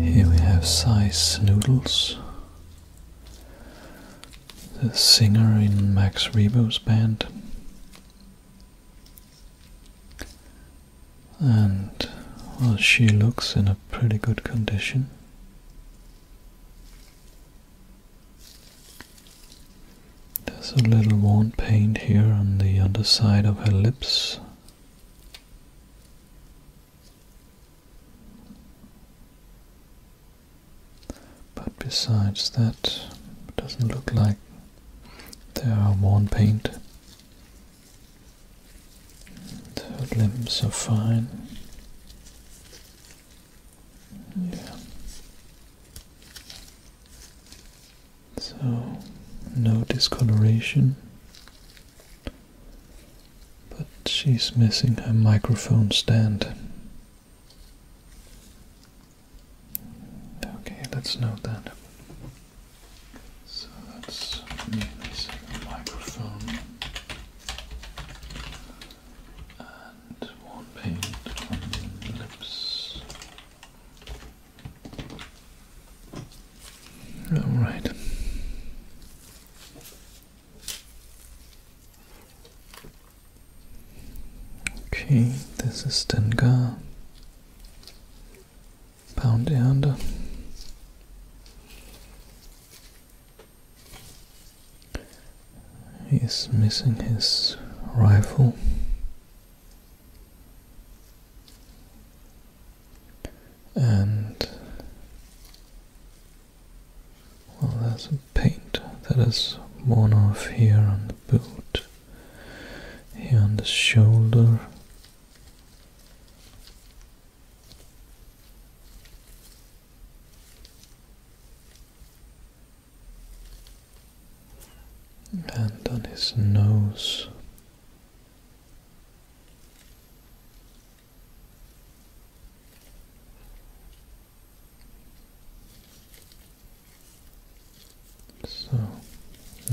Here we have Size Noodles, the singer in Max Rebo's band. And well, she looks in a pretty good condition. There's a little worn paint here on the underside of her lips but besides that, it doesn't look like there are worn paint. The limbs are fine. Yeah. So, no discoloration. But she's missing her microphone stand. Okay, let's note that. So that's missing a microphone and one paint on the lips. All right. Okay, this is Dengar, Pound Erde. He's missing his rifle and well there's a paint that is worn off here on the boot here on the shoulder and on his nose so,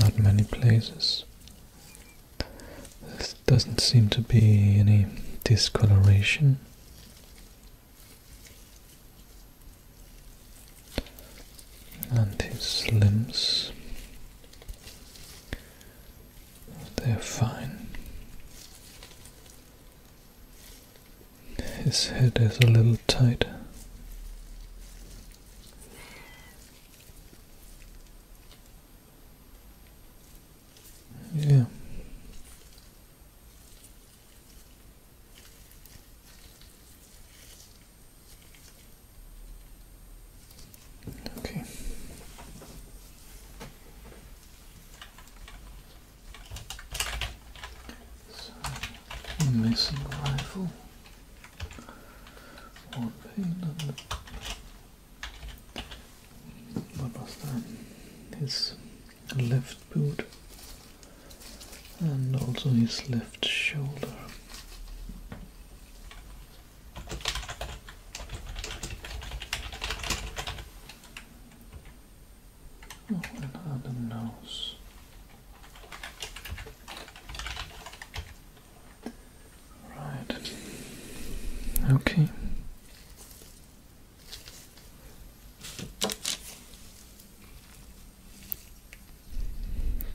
not many places. There doesn't seem to be any discoloration. And his limbs they're fine. His head is a little tight. Yeah. Okay. So, missing rifle. One pain and what was that? His left boot and also his left shoulder. Not that Adam knows. Right. Okay.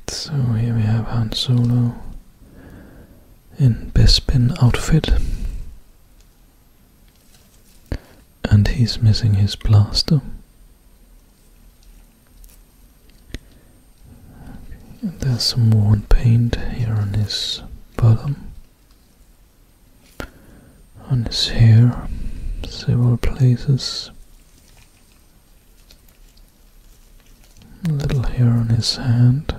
So here we have Han Solo in Bespin outfit. And he's missing his blaster. there's some worn paint here on his bottom, on his hair, several places. A little hair on his hand.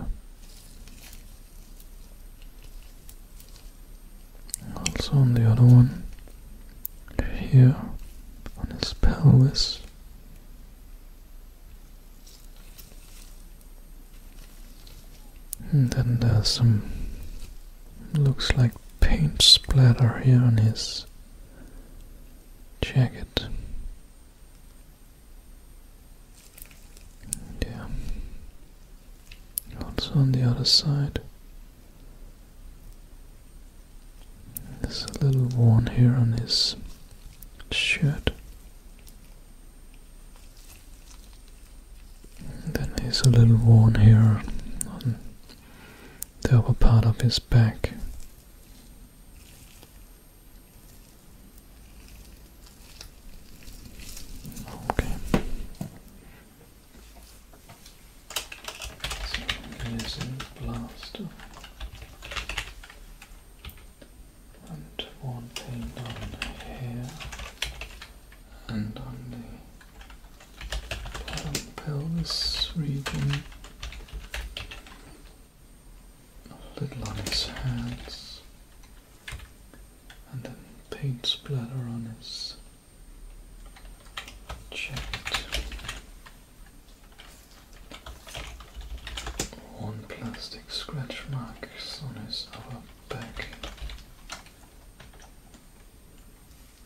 Also on the other one. Here on his pelvis. And then there's some looks like paint splatter here on his jacket. Yeah. Also on the other side. There's a little worn here on his shirt. then there's a little worn here on the upper part of his back. Okay. So and one thing on here and on the pelvis region a little on his hands, and then paint splatter on his jacket. One plastic scratch mark is on his upper back.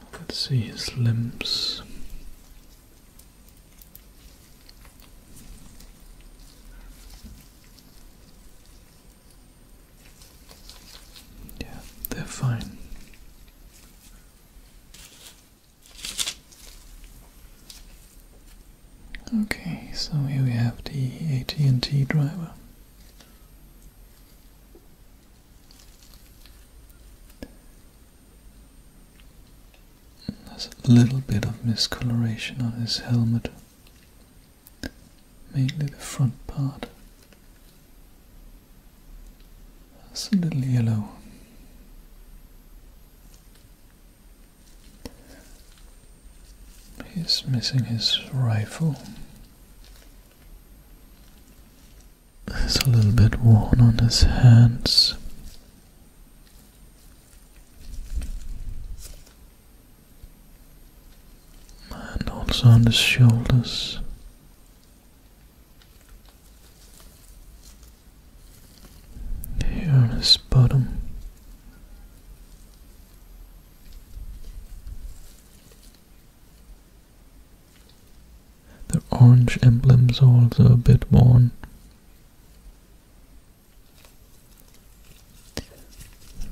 I can see his limbs yeah, they're fine. Okay, so here we have the AT&T driver. There's a little bit of miscoloration on his helmet, mainly the front part. That's a little yellow. He's missing his rifle. It's a little bit worn on his hands and also on the shoulders. Here on his bottom, the orange emblem's also a bit worn,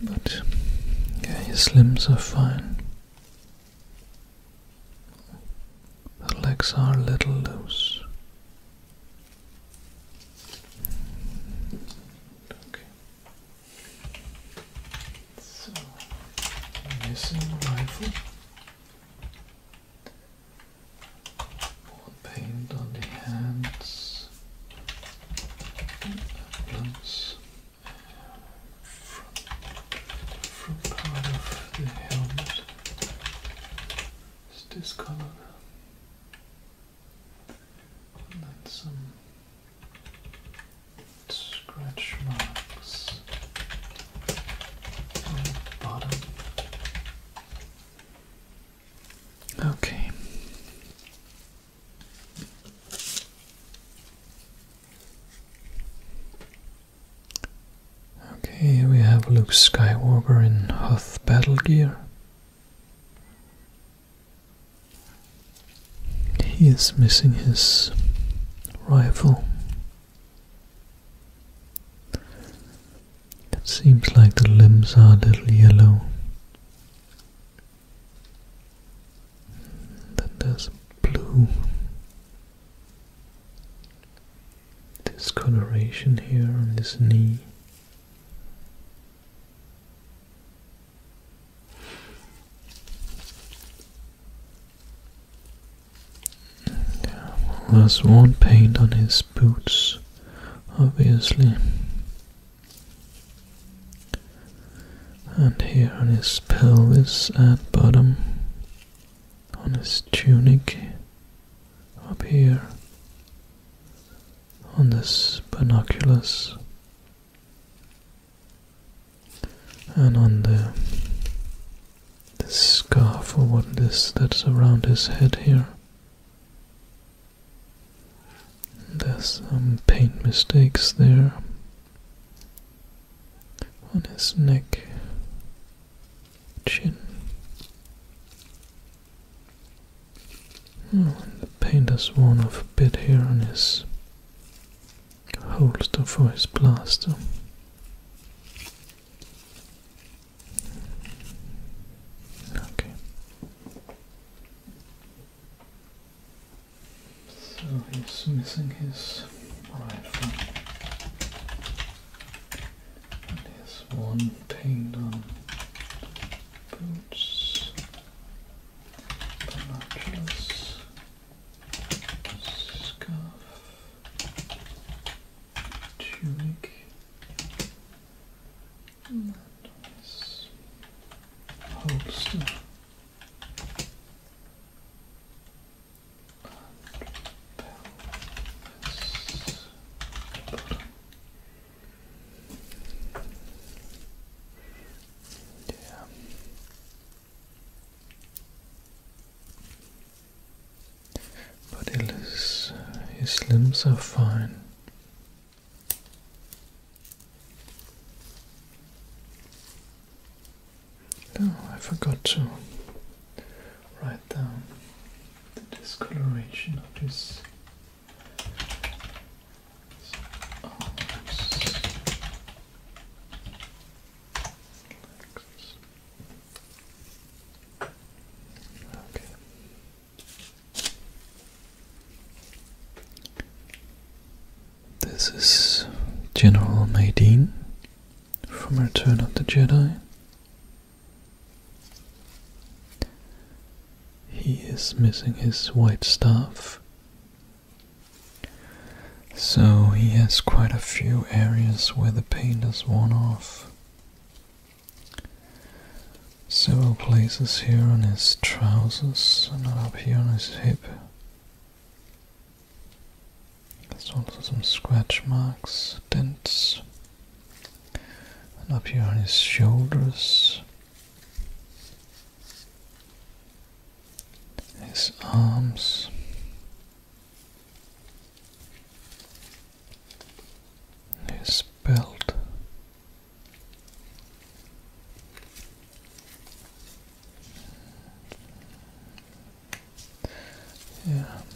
but yeah, his limbs are fine. The legs are a little loose. Okay. So, missing rifle. More paint on the hands. Emblems. Front, part of the helmet is discolored. then some scratch marks on the bottom. Okay. Okay, we have Luke Skywalker in Hoth battle gear. He is missing his rifle. It seems like the limbs are a little yellow. Then there's blue. This coloration here on his knee. there's one paint on his boots obviously. And here on his pelvis at bottom, on his tunic, up here, on this binoculars, and on the this scarf or what this that's around his head here. There's some paint mistakes there on his neck, chin. Oh, the paint has worn off a bit here on his holster for his blaster. Okay. So he's missing his right foot. here's one paint boots, binoculars, scarf, tunic, and this But his limbs are fine. Oh, I forgot to write down the discoloration of this. okay. This is General Maydeen from Return of the Jedi. He is missing his white stuff, so he has quite a few areas where the paint is worn off. Several places here on his trousers and up here on his hip. There's also some scratch marks, dents, and up here on his shoulders, his arms. His belt,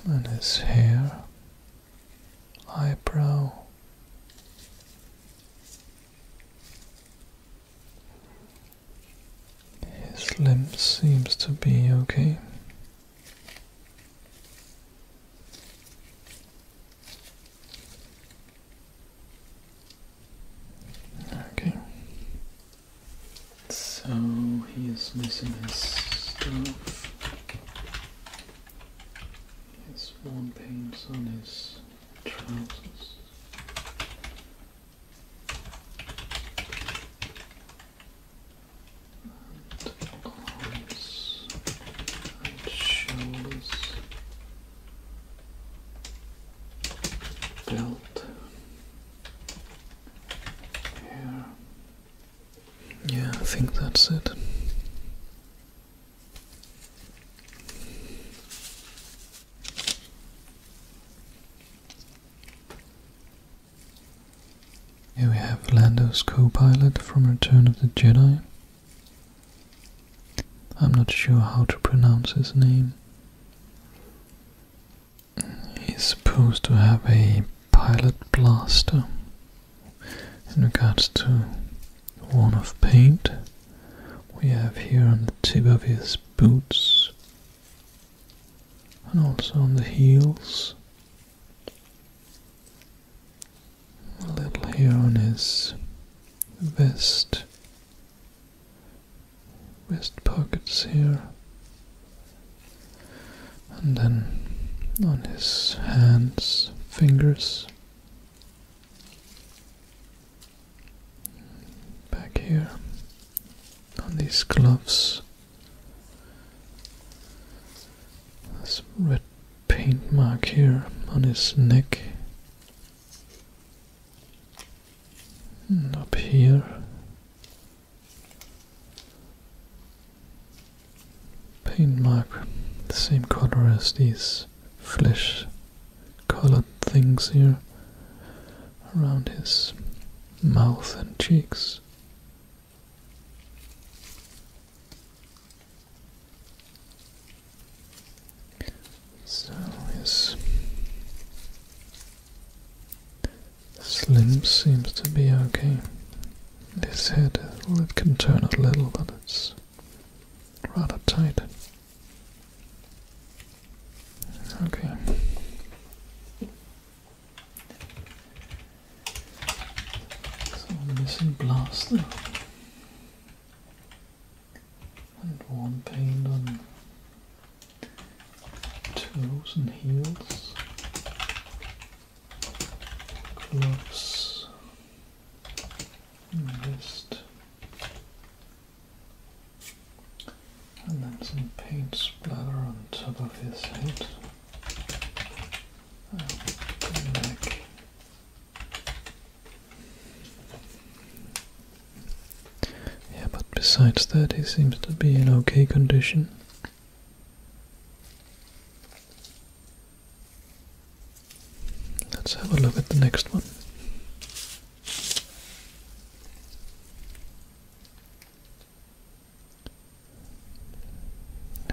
and his hair, eyebrow. His limb seems to be okay. Okay. So he is missing his stuff. His worn pants on his trousers arms belt, yeah, yeah, I think that's it. Here we have Lando's co-pilot from Return of the Jedi. I'm not sure how to pronounce his name. He's supposed to have a pilot blaster in regards to one of paint we have here on the tip of his boots and also on the heels a little here on his vest, vest pockets here, and then on his hands, fingers, back here on these gloves. This red paint mark here on his neck. And hmm, up here. Paint mark, the same color as these flesh colored things here around his mouth and cheeks. So his his limbs seems to be okay. His head well, it can turn a little, but it's rather tight. Okay. missing blaster and one paint on toes and heels, gloves and wrist, and then some paint splatter on top of his head. back yeah, but besides that, he seems to be in okay condition. Let's have a look at the next one.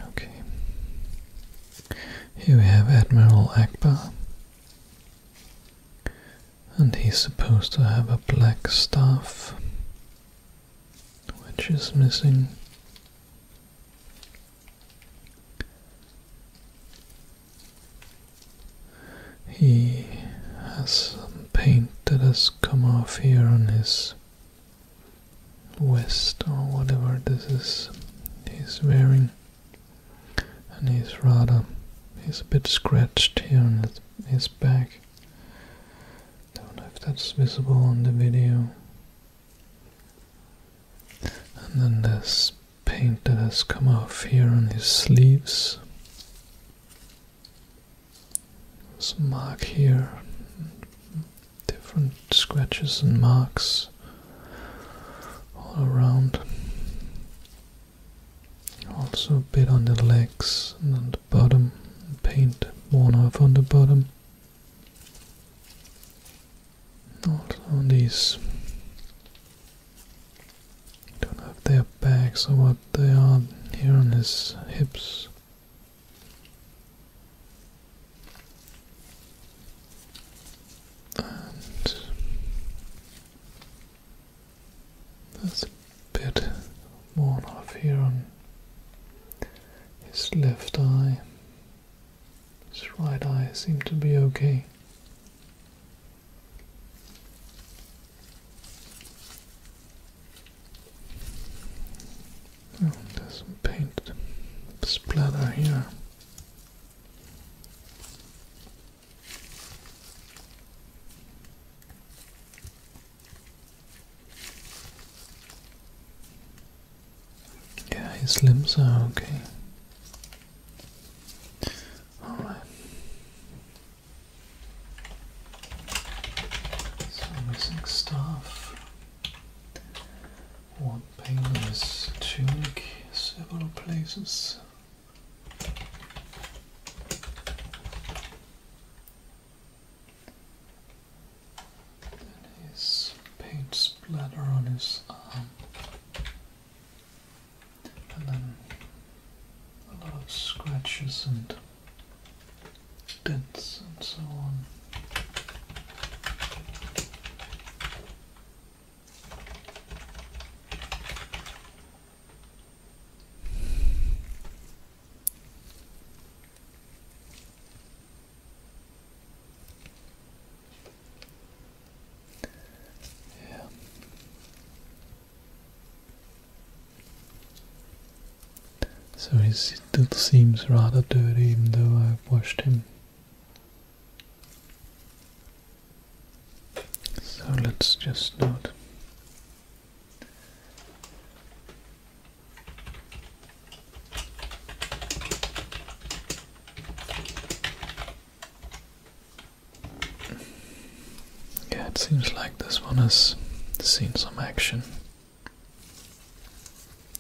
Okay. Here we have Admiral Akbar, and he's supposed to have a black staff, which is missing. He has some paint that has come off here on his vest or whatever this is he's wearing and he's rather he's a bit scratched here on his back. Don't know if that's visible on the video. And then this paint that has come off here on his sleeves. There's mark here, different scratches and marks all around. Also a bit on the legs and on the bottom, paint worn off on the bottom. Not on these, don't know if they're bags or what they are here on his hips and there's a bit worn off here on his left eye. His right eye seemed to be okay. Oh, there's some paint splatter here. Yeah, his limbs are okay. All right. So missing stuff. One pain on his tunic, several places. Then his paint splatter on his arm. And then a lot of scratches and dents and so on. So he still seems rather dirty even though I have washed him so let's just note. yeah, it seems like this one has seen some action.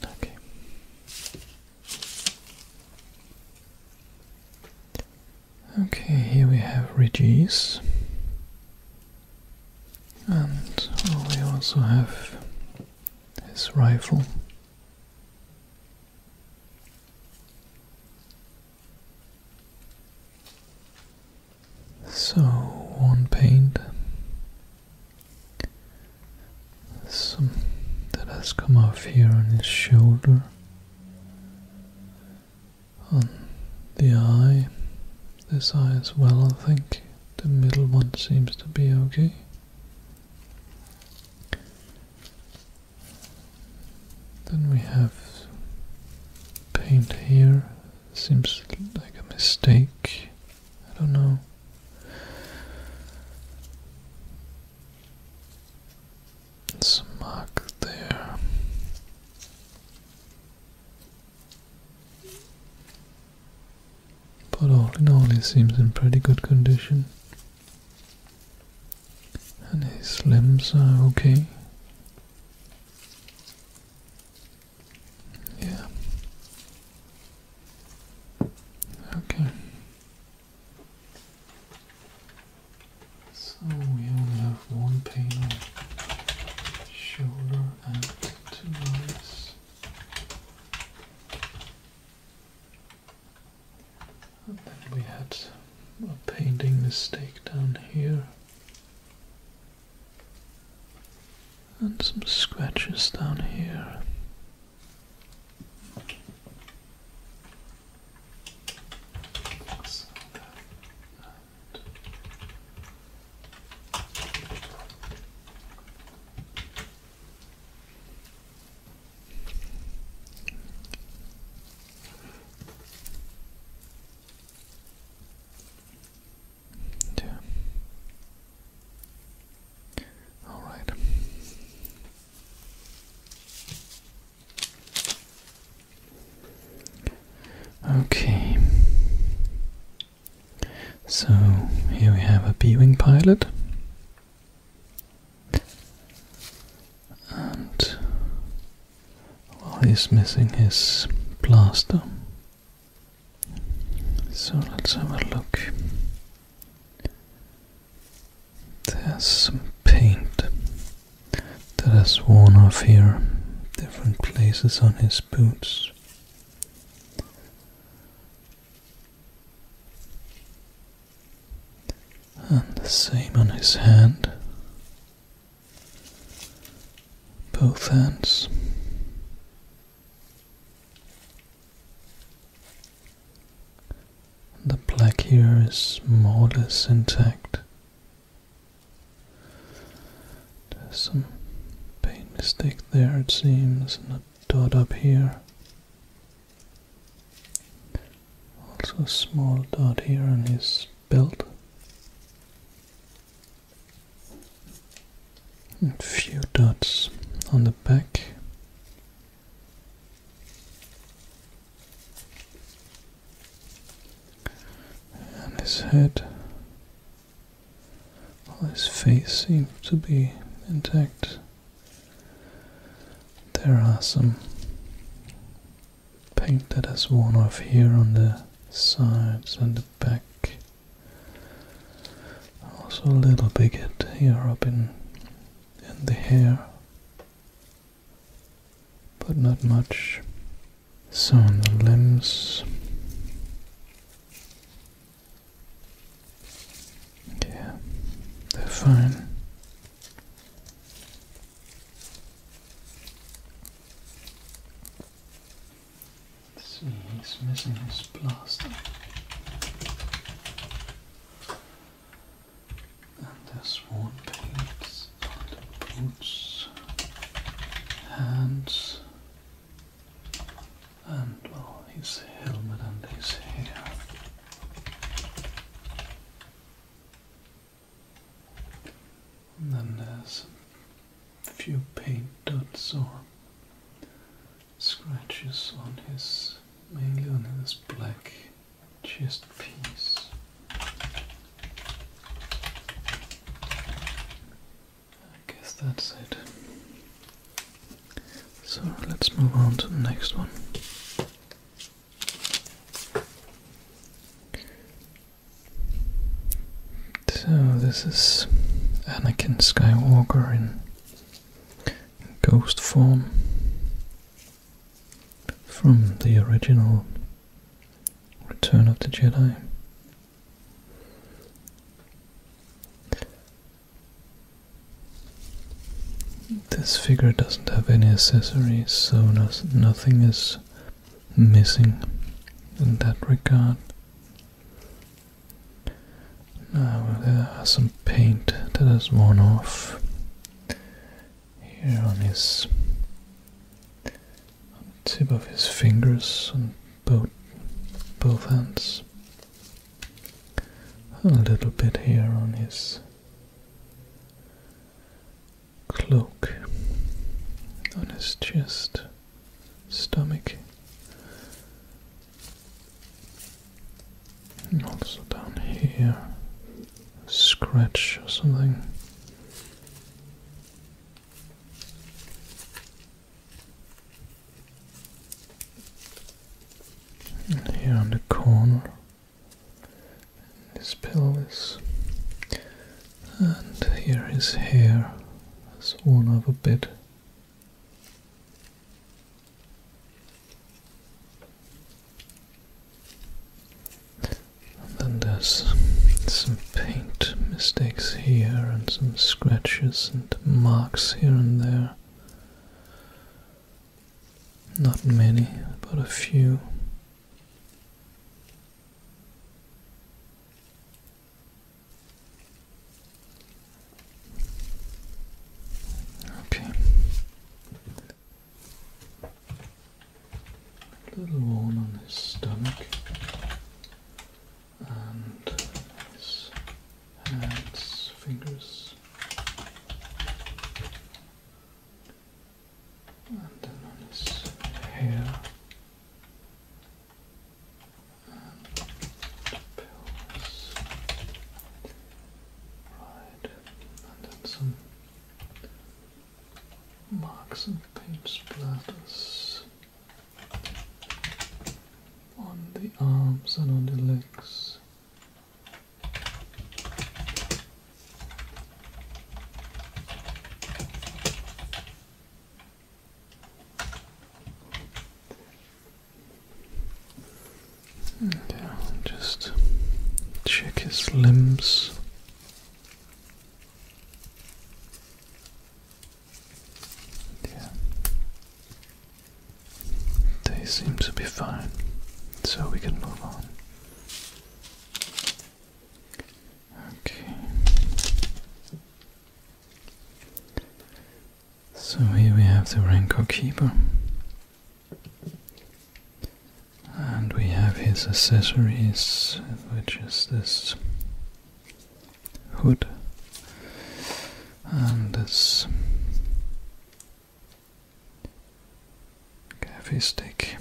Okay. Okay, here we have Reggie's. And oh, we also have his rifle. So, one paint. Some that has come off here on his shoulder on the eye. This eye as well, I think. The middle one seems to be okay. Then we have paint here. Seems like a mistake. I don't know. Some mark there. But all in all, he seems in pretty good condition. And his limbs are okay. Yeah. Okay. So we only have one panel, shoulder and two eyes. And then we had a painting mistake down here. And some scratches down here. So All right. Okay, so here we have a B Wing pilot, and well, he's missing his blaster. So let's have a look. There's some paint that has worn off here, different places on his boots. And the same on his hand. Both hands. The plaque here is more or less intact. There's some paint mistake there, it seems, and a dot up here. Also a small dot here on his belt. A few dots on the back. And his head, his face seems to be intact. There are some paint that has worn off here on the sides and the back. Also a little bit here up in in the hair but not much. So on the limbs, yeah, they're fine. see, he's missing his blaster and there's one paints and prints hands and well his helmet and his hair. And then there's a few paint dots or scratches on his mainly on his black just peace. I guess that's it. So let's move on to the next one. So this is Anakin Skywalker in ghost form from the original Return of the Jedi. This figure doesn't have any accessories, so nothing is missing in that regard. Now there are some paint that is worn off here on his tip of his fingers on both both hands. A little bit here on his cloak, on his chest, stomach, and also down here scratch or something. here on the corner, This pelvis, and here his hair is worn off a bit. And then there's some paint mistakes here and some scratches and marks here and there. Not many, but a few. Okay. A little worn on his stomach and his hands, fingers, and then on his hair. And pills. Right, and then some marks and paint splatters on the arms and on the legs. just check his limbs. They seem to be fine, so we can move on. Okay. So here we have the Renko Keeper. And we have his accessories, which is this hood and this coffee stick,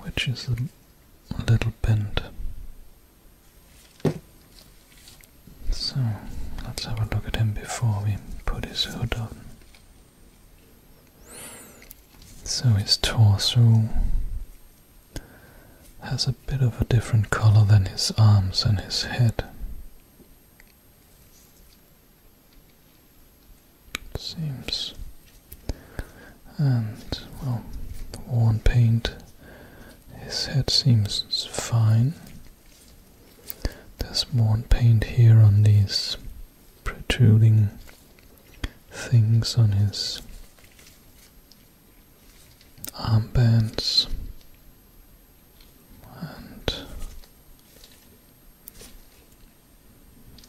which is a little bent. So let's have a look at him before we put his hood on. So his torso has a bit of a different color than his arms and his head. seems. And, well, the worn paint, his head seems fine. There's more paint here on these protruding things on his armbands and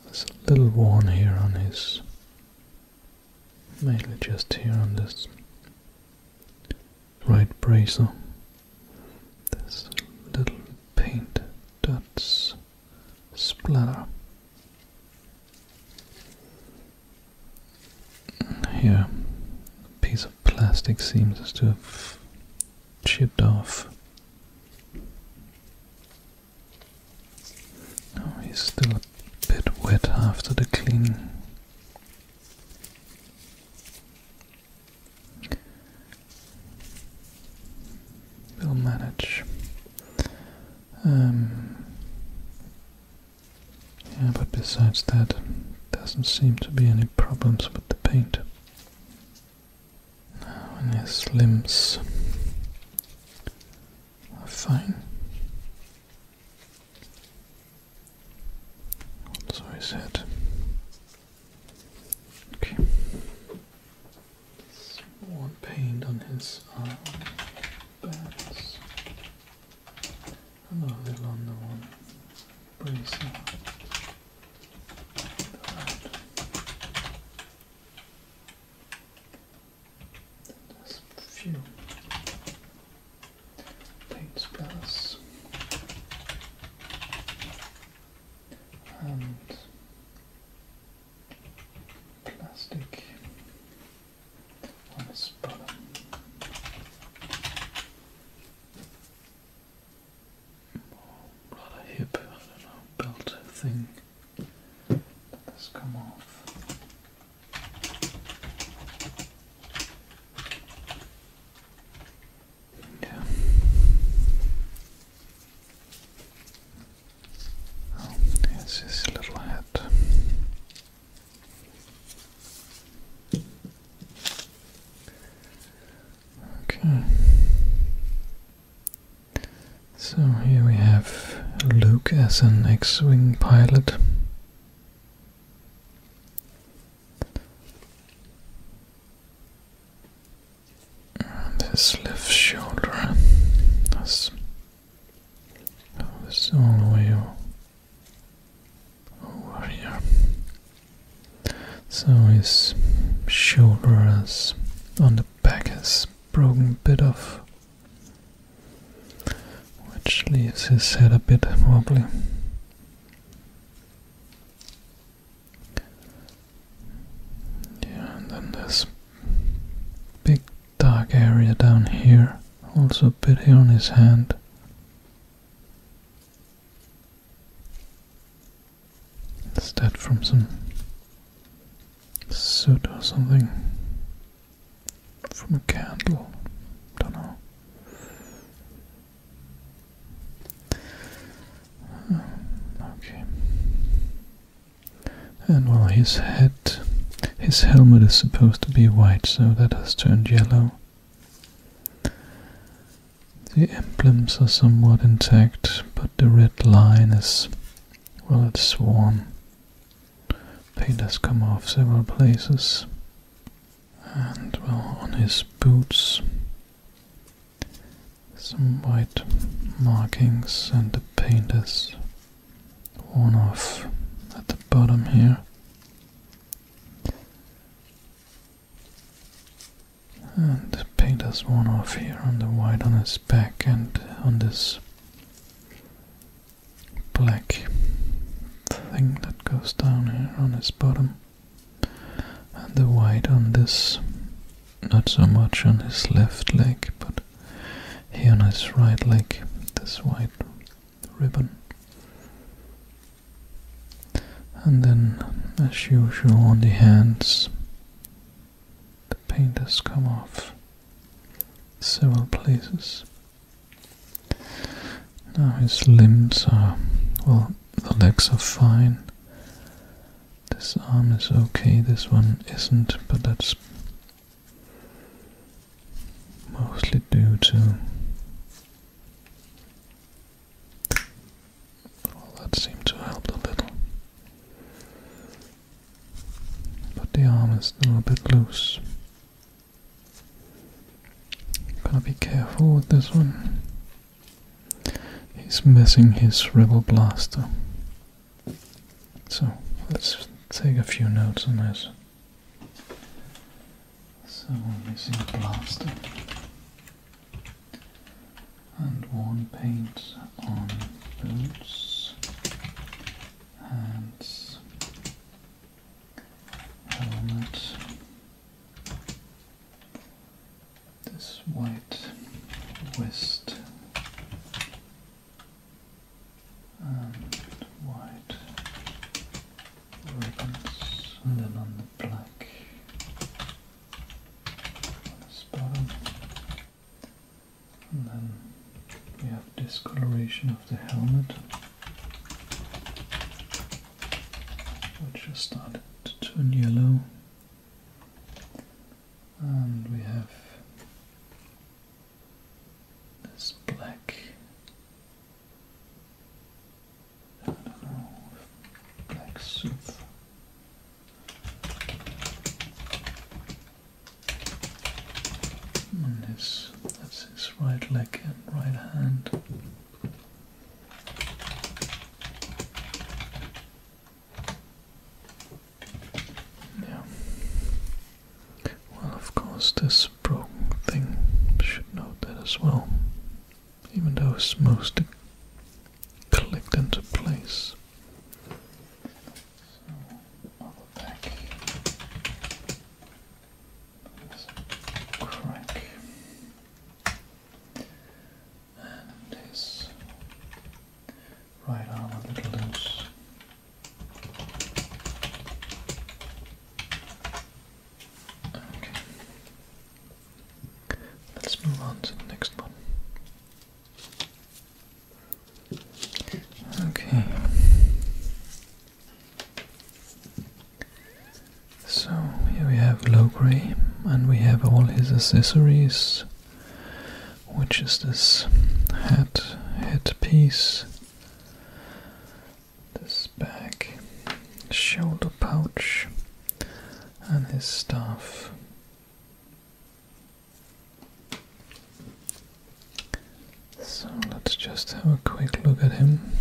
there's a little worn here on his mainly just here on this right bracer this little paint dots splatter. Here, a piece of plastic seems to have chipped off. Oh, he's still a bit wet after the cleaning. We'll manage. Um, yeah, but besides that, doesn't seem to be any problems with the paint. and his limbs are fine. Also his head. Okay. More paint on his arm. Another one. Bracer. There's few paint spells and plastic on the bottom. Or rather hip, belt thing has come off. Yeah. Oh, here's his little hat. Okay. So here we have Luke as an X Wing pilot around his left shoulder. That's this all the way over here. So his shoulder is on the back is broken a bit off, which leaves his head a bit wobbly. Yeah, and then this big dark area down here, also a bit here on his hand. Is that from some soot or something? From a candle? Don't know okay. And well, his head, his helmet is supposed to be white, so that has turned yellow. The emblems are somewhat intact, but the red line is, well, it's worn. Paint has come off several places. And well, on his boots, some white markings and the paint is worn off at the bottom here. And paint is worn off here on the white on his back and on this black thing that goes down here on his bottom. And the white on this not so much on his left leg, but here on his right leg, this white ribbon. And then, as usual, on the hands, the paint has come off several places. Now his limbs are, well, the legs are fine, this arm is okay, this one isn't, but that's mostly due to. Well, that seemed to help a little. But the arm is still a bit loose. Gotta be careful with this one. He's missing his rebel blaster. So let's take a few notes on this. So missing blaster and worn paint on boots, and helmet, this white west and white ribbons, and then on the black on this bottom, and then we have discoloration of the helmet, which has started to turn yellow and we have this black. I don't know, black suit. And his, that's his right leg and right hand. Yeah. Well, of course, this broken thing should note that as well. Even though it's mostly clicked into place. So, crack. And his right arm a little loose. Okay. Let's move on to the next one. Okay. So here we have Logray and we have all his accessories which is this hat headpiece, this bag, shoulder pouch, and his staff. So let's just have a quick look at him.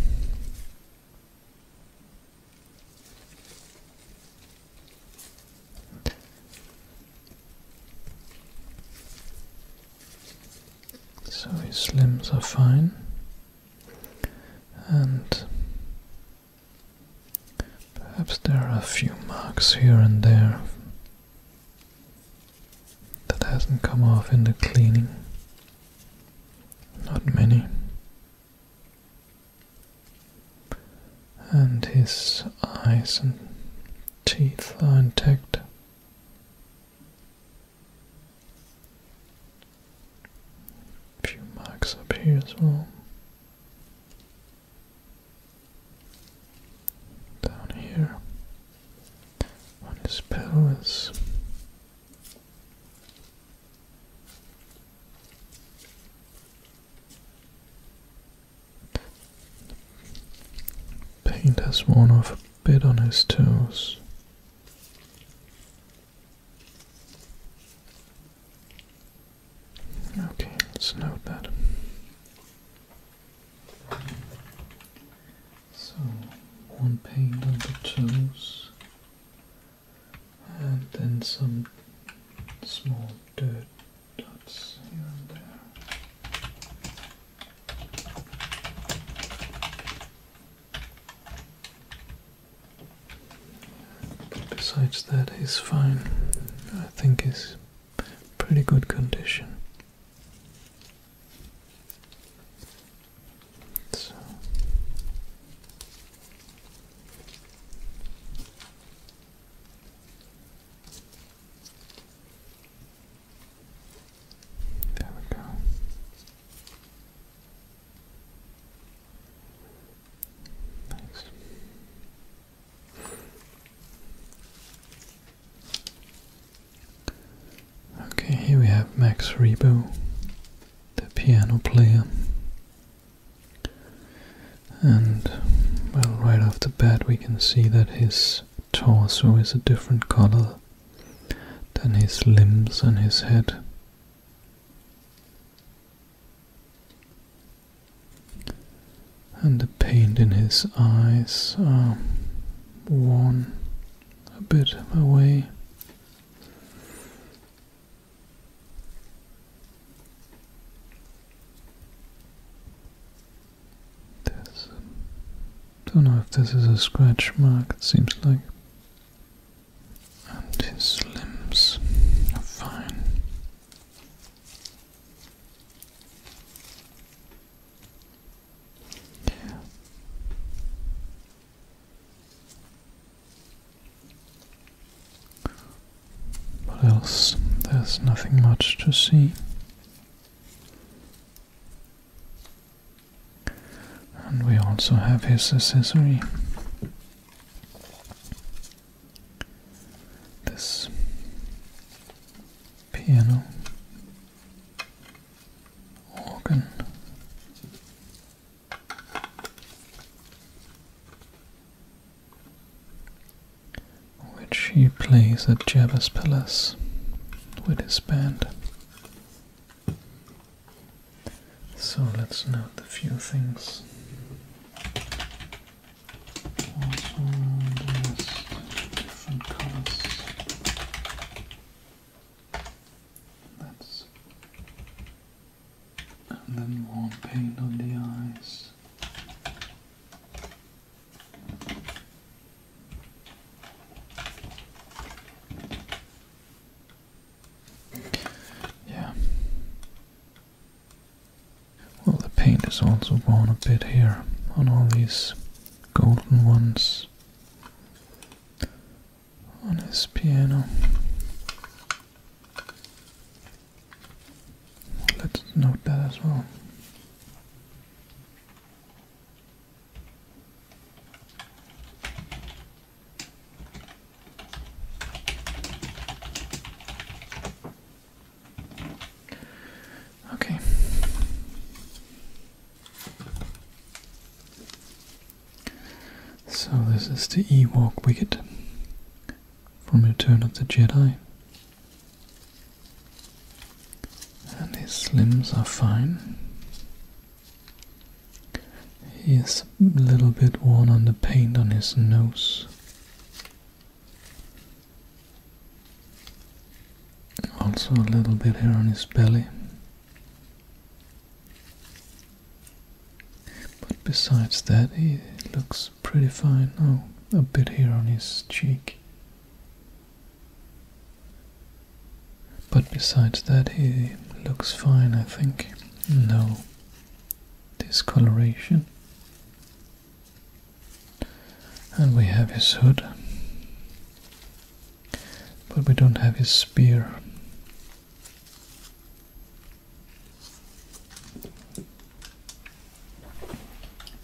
So his limbs are fine, and perhaps there are a few marks here and there that hasn't come off in the cleaning. Not many and his eyes and teeth are intact. A few marks up here as well. Down here on his pelvis. Paint has worn off a bit on his toes. Okay, let's note that. So, one paint on the toes, and then some small dirt besides that, he's fine. I think he's pretty good condition. There we go. Nice. Okay, here we have Max Rebo, the piano player. And, well, right off the bat, we can see that his torso is a different color than his limbs and his head. And the paint in his eyes are worn a bit away. This. Don't know if this is a scratch mark, it seems like. And his limbs are fine. What else? There's nothing much to see. And we also have his accessory. This piano, organ, which he plays at Jabba's palace with his band. So let's note a few things. different colors. That's and then more paint on the eyes. Yeah. Well, the paint is also worn a bit here on all these golden ones on his piano. Let's note that as well. Okay. So this is the Ewok Wicket from Return of the Jedi and his limbs are fine. He is a little bit worn on the paint on his nose. Also a little bit here on his belly. But besides that, he looks pretty fine. Oh, a bit here on his cheek. But besides that, he looks fine, I think. No discoloration. And we have his hood. But we don't have his spear.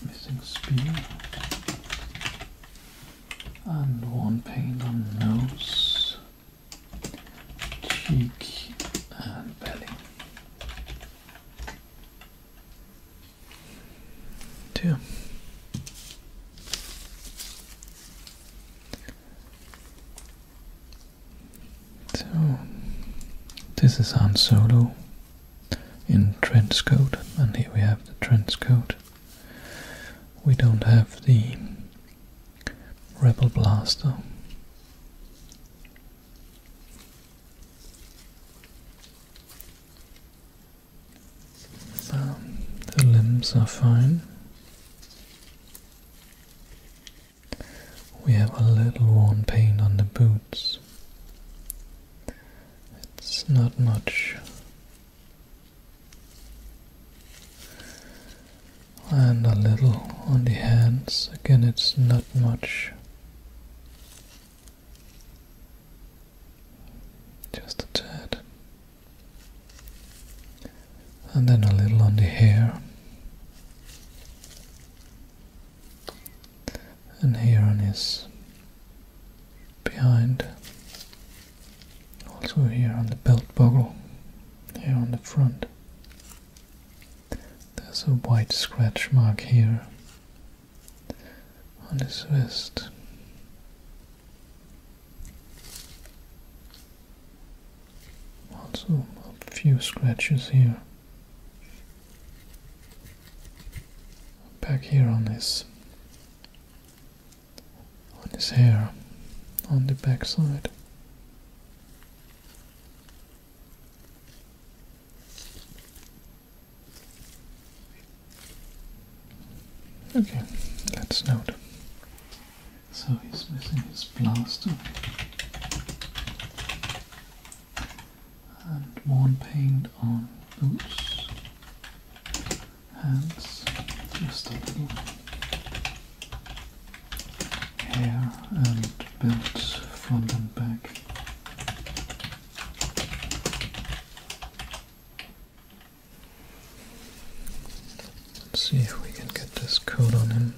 Missing spear. And one paint on nose, cheek and belly. Two. So this is Han Solo in Trent's code and here we have the Trent's code. We don't have the Rebel Blaster. Um, the limbs are fine. We have a little worn paint on the boots. It's not much. And a little on the hands. Again, it's not much. Just a tad. And then a little on the hair and here on his behind also here on the belt buckle here on the front there's a white scratch mark here on his vest also a few scratches here back here on his on his hair on the back side. Okay, let's note. So he's missing his blaster and one paint on boots, hands, just a little hair and belt from the back. Let's see if we can get this coat on him.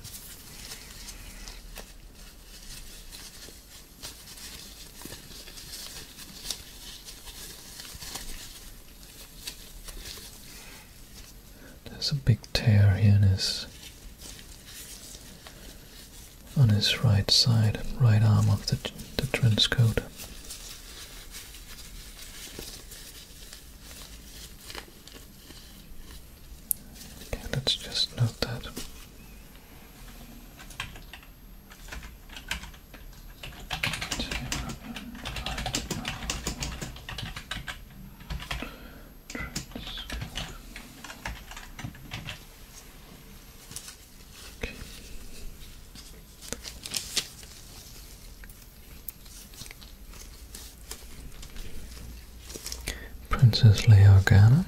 There's a big tear here in his on his right side, right arm of the, the trench coat. let's just note that. Princess Leogana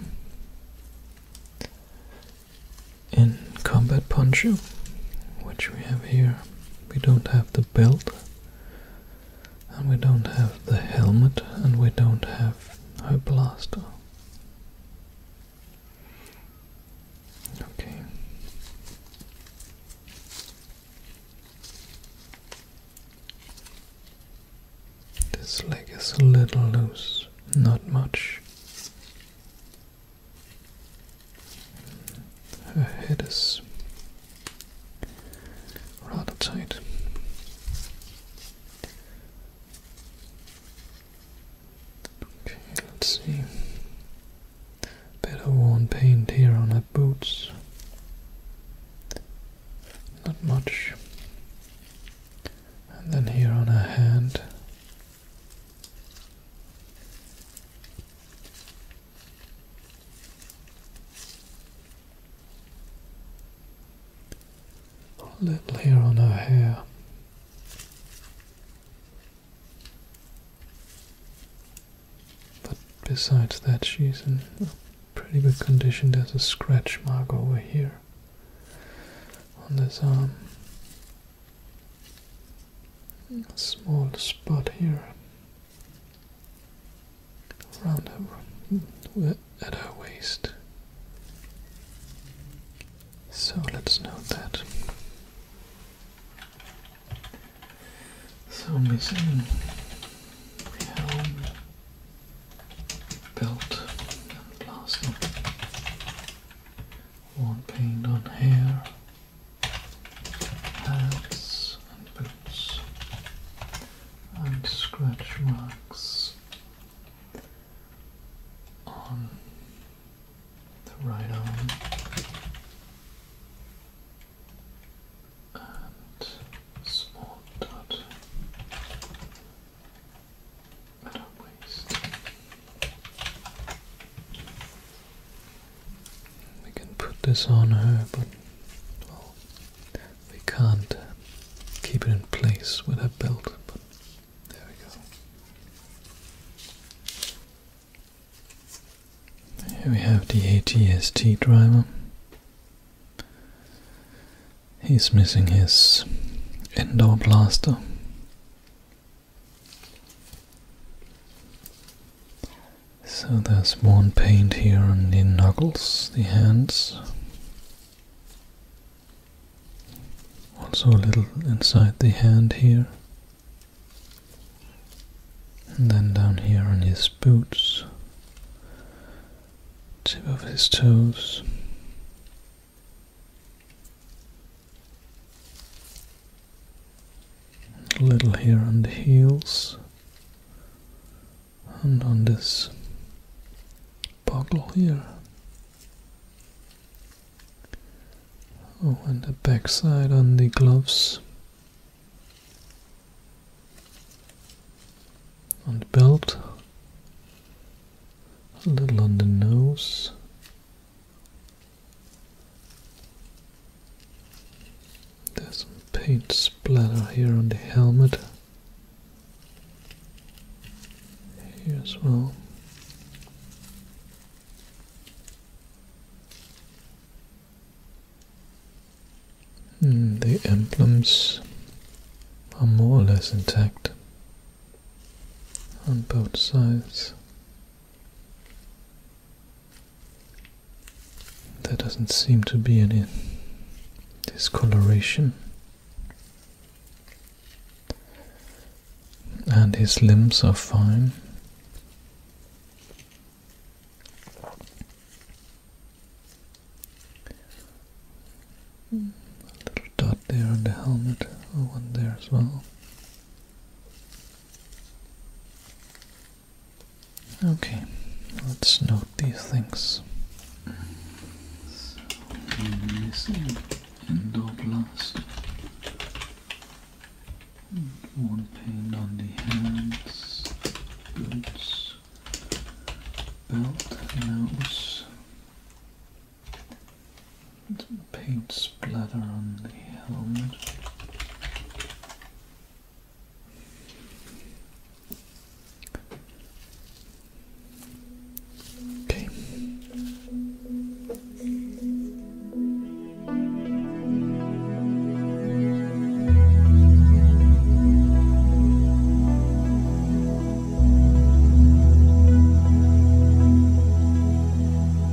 in combat poncho, which we have here, we don't have the belt, and we don't have the helmet, and we don't have a blaster. Okay. This leg is a little loose, not much. Her head is rather tight. Okay, let's see. Better worn paint here on her boots. Not much. And then here on her hand, a little here on her hair. But besides that, she's in pretty good condition. There's a scratch mark over here on this arm a small spot here around her, at her waist. So let's note that. So missing helm, belt, and last more paint on hair, hats and boots, and scratch marks on the right arm and small dot we can put this on her, but we can't keep it in place with her belt. But there we go. Here we have the ATST driver. He's missing his indoor blaster. So there's one paint here on the knuckles, the hands. Also a little inside the hand here. And then down here on his boots. Tip of his toes. A little here on the heels and on this buckle here. Oh, and the backside on the gloves. On the belt a little on the nose. There's some paint splatter here on the helmet. Here as well. Hmm, the emblems are more or less intact on both sides. There doesn't seem to be any discoloration. And his limbs are fine. A little dot there on the helmet, one there as well. Okay, let's note these things. So, missing endoblast one paint on the hands, boots, belt, nose, some paint splatter on the helmet. Okay.